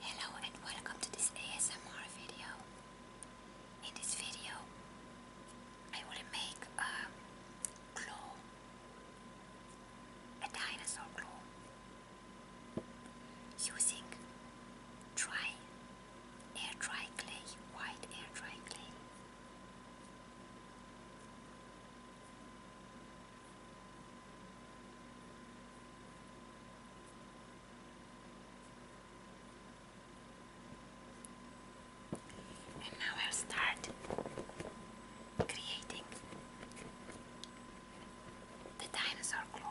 Hello and welcome to this ASMR video. In this video I will make a claw, a dinosaur claw, using dry air dry clay, white air dry clay. And now I'll start creating the dinosaur claw.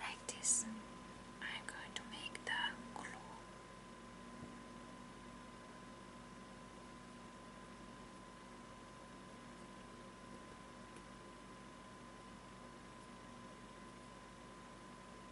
Like this, I'm going to make the glue.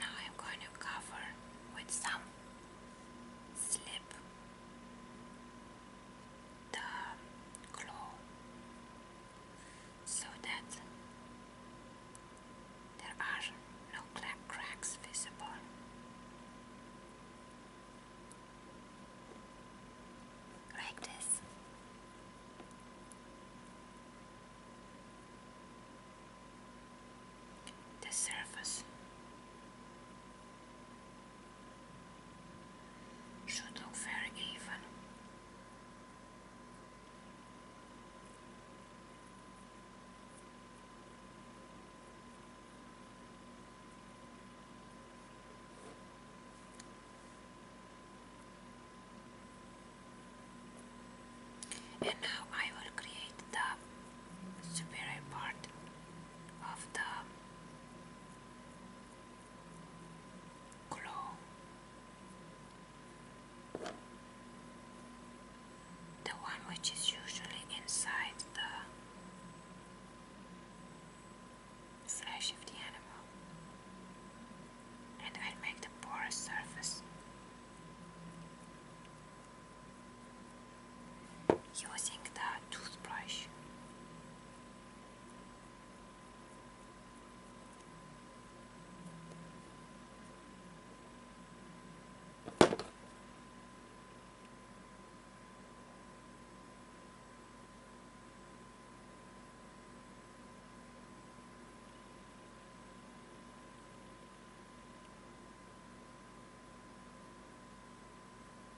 Now I'm going to cover with some slip the claw so that there are no cracks visible. Like this. The surface should look very even. And now I will create the superior part of the glow. The one which is usually inside the flesh of the animal, and I make the porous surface using the toothbrush.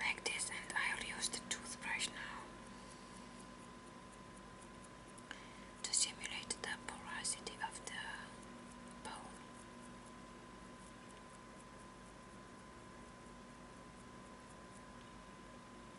like this and I'll use the toothbrush now to simulate the porosity of the bone.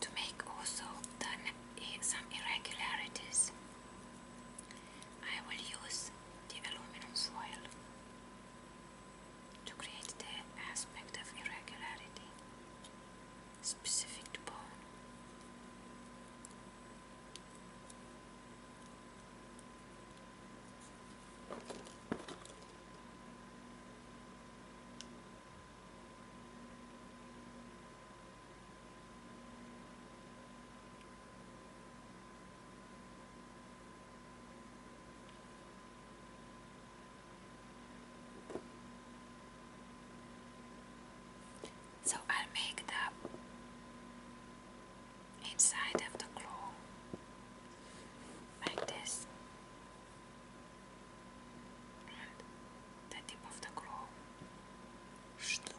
to make also some irregularities, I will use the aluminum foil to create the aspect of irregularity specific to bone. So i make the inside of the claw like this the tip of the claw should look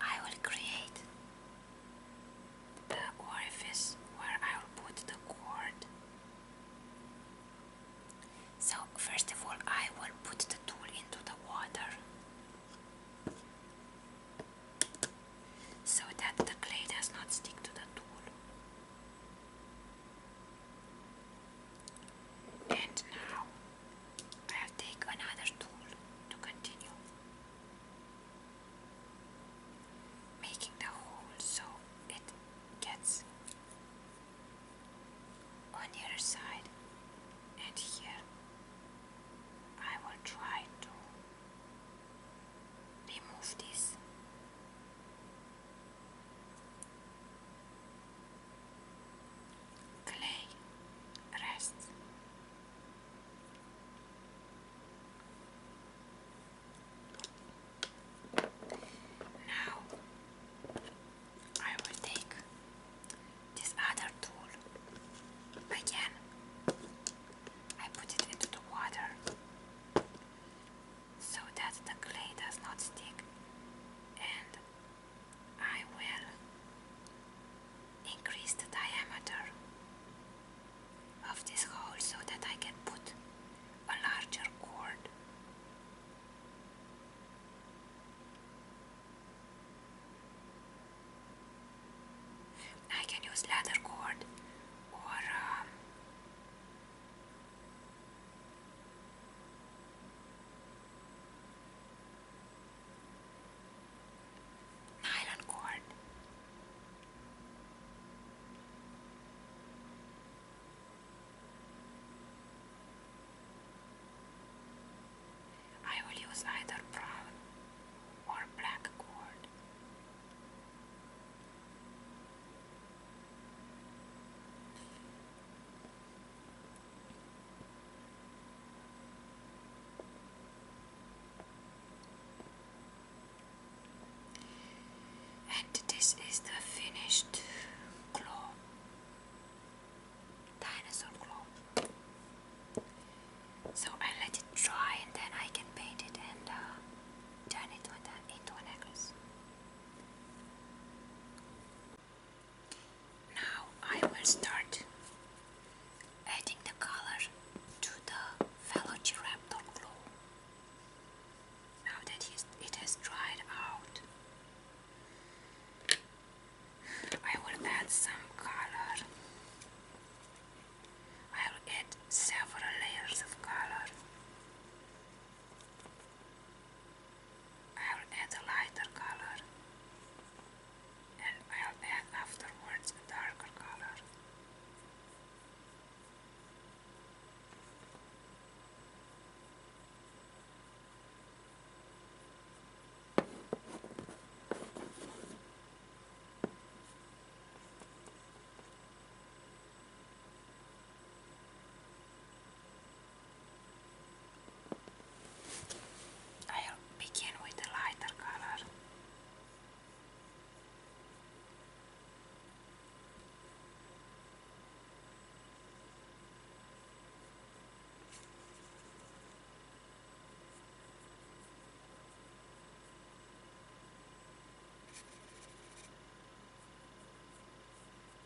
I will create the orifice where I will put the cord. So, first of all, I will put the tool into the water so that the clay does not stick to the tool. And now I'll take another tool to continue making the hole so it gets on the other side and here I will try to remove this clay rests. Now I will take this other tool again. I put it into the water so that the clay does not stick and I will increase the diameter of this hole so that I can put a larger cord. I can use ladder cord or um, nylon cord. I will use either brown or black cord. And this is the finished claw, dinosaur claw. So I let it dry and then I can paint it and uh, turn it into an necklace. Now I will start adding the color to the Velociraptor glue. Now that it has dried out, I will add some color. I will add several layers of color. I'll add a lighter color and I'll add afterwards a darker color. I'll begin with the lighter color.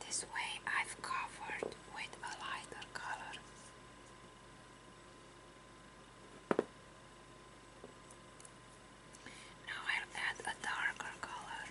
This way I've covered with a lighter color. Now I'll add a darker color.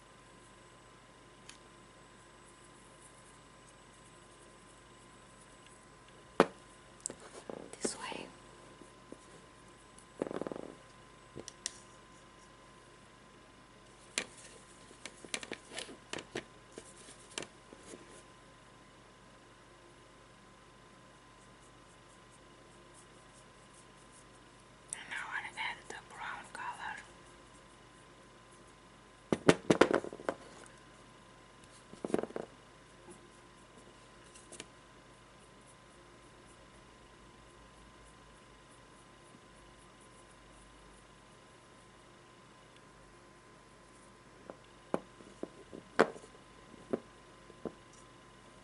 This way. And I add the brown color.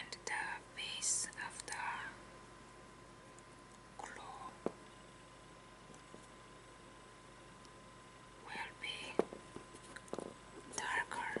and the base of the claw will be darker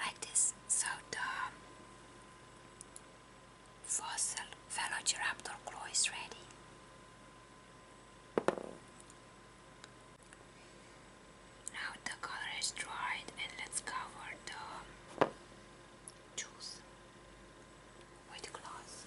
like this. So the fossil Velociraptor claw is ready. Now the color is dried and let's cover the juice with cloth.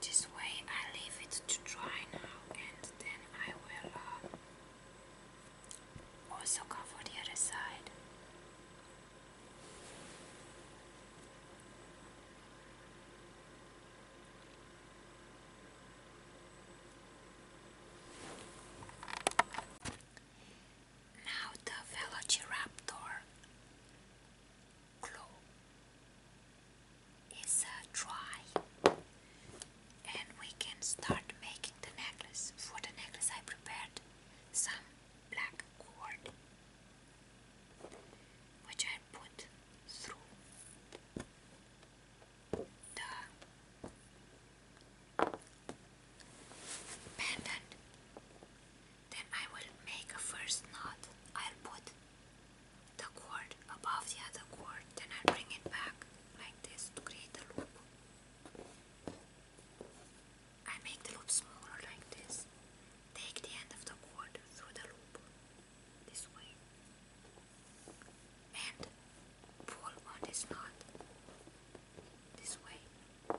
This way I leave it to dry now and then I will uh, also cover the other side. Now the Velociraptor claw is uh, dry and we can start making the necklace. For the necklace I prepared some black cord which I put through the Then I will make a first knot. I'll put the cord above the other cord, then i bring it back like this to create a loop. I make the loop smaller like this. Take the end of the cord through the loop this way. And full one is not this way.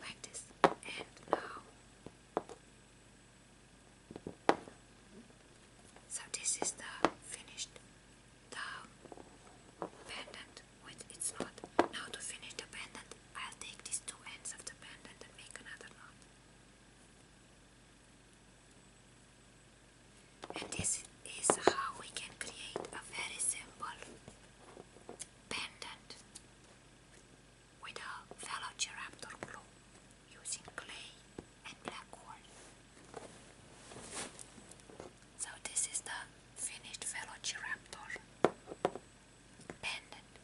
Like this. And now. So this is the finished the pendant. Wait, it's not. Now to finish the pendant, I'll take these two ends of the pendant and make another knot. And this is how we can create a very simple pendant with a velociraptor glue using clay and black wool. So this is the finished velociraptor pendant.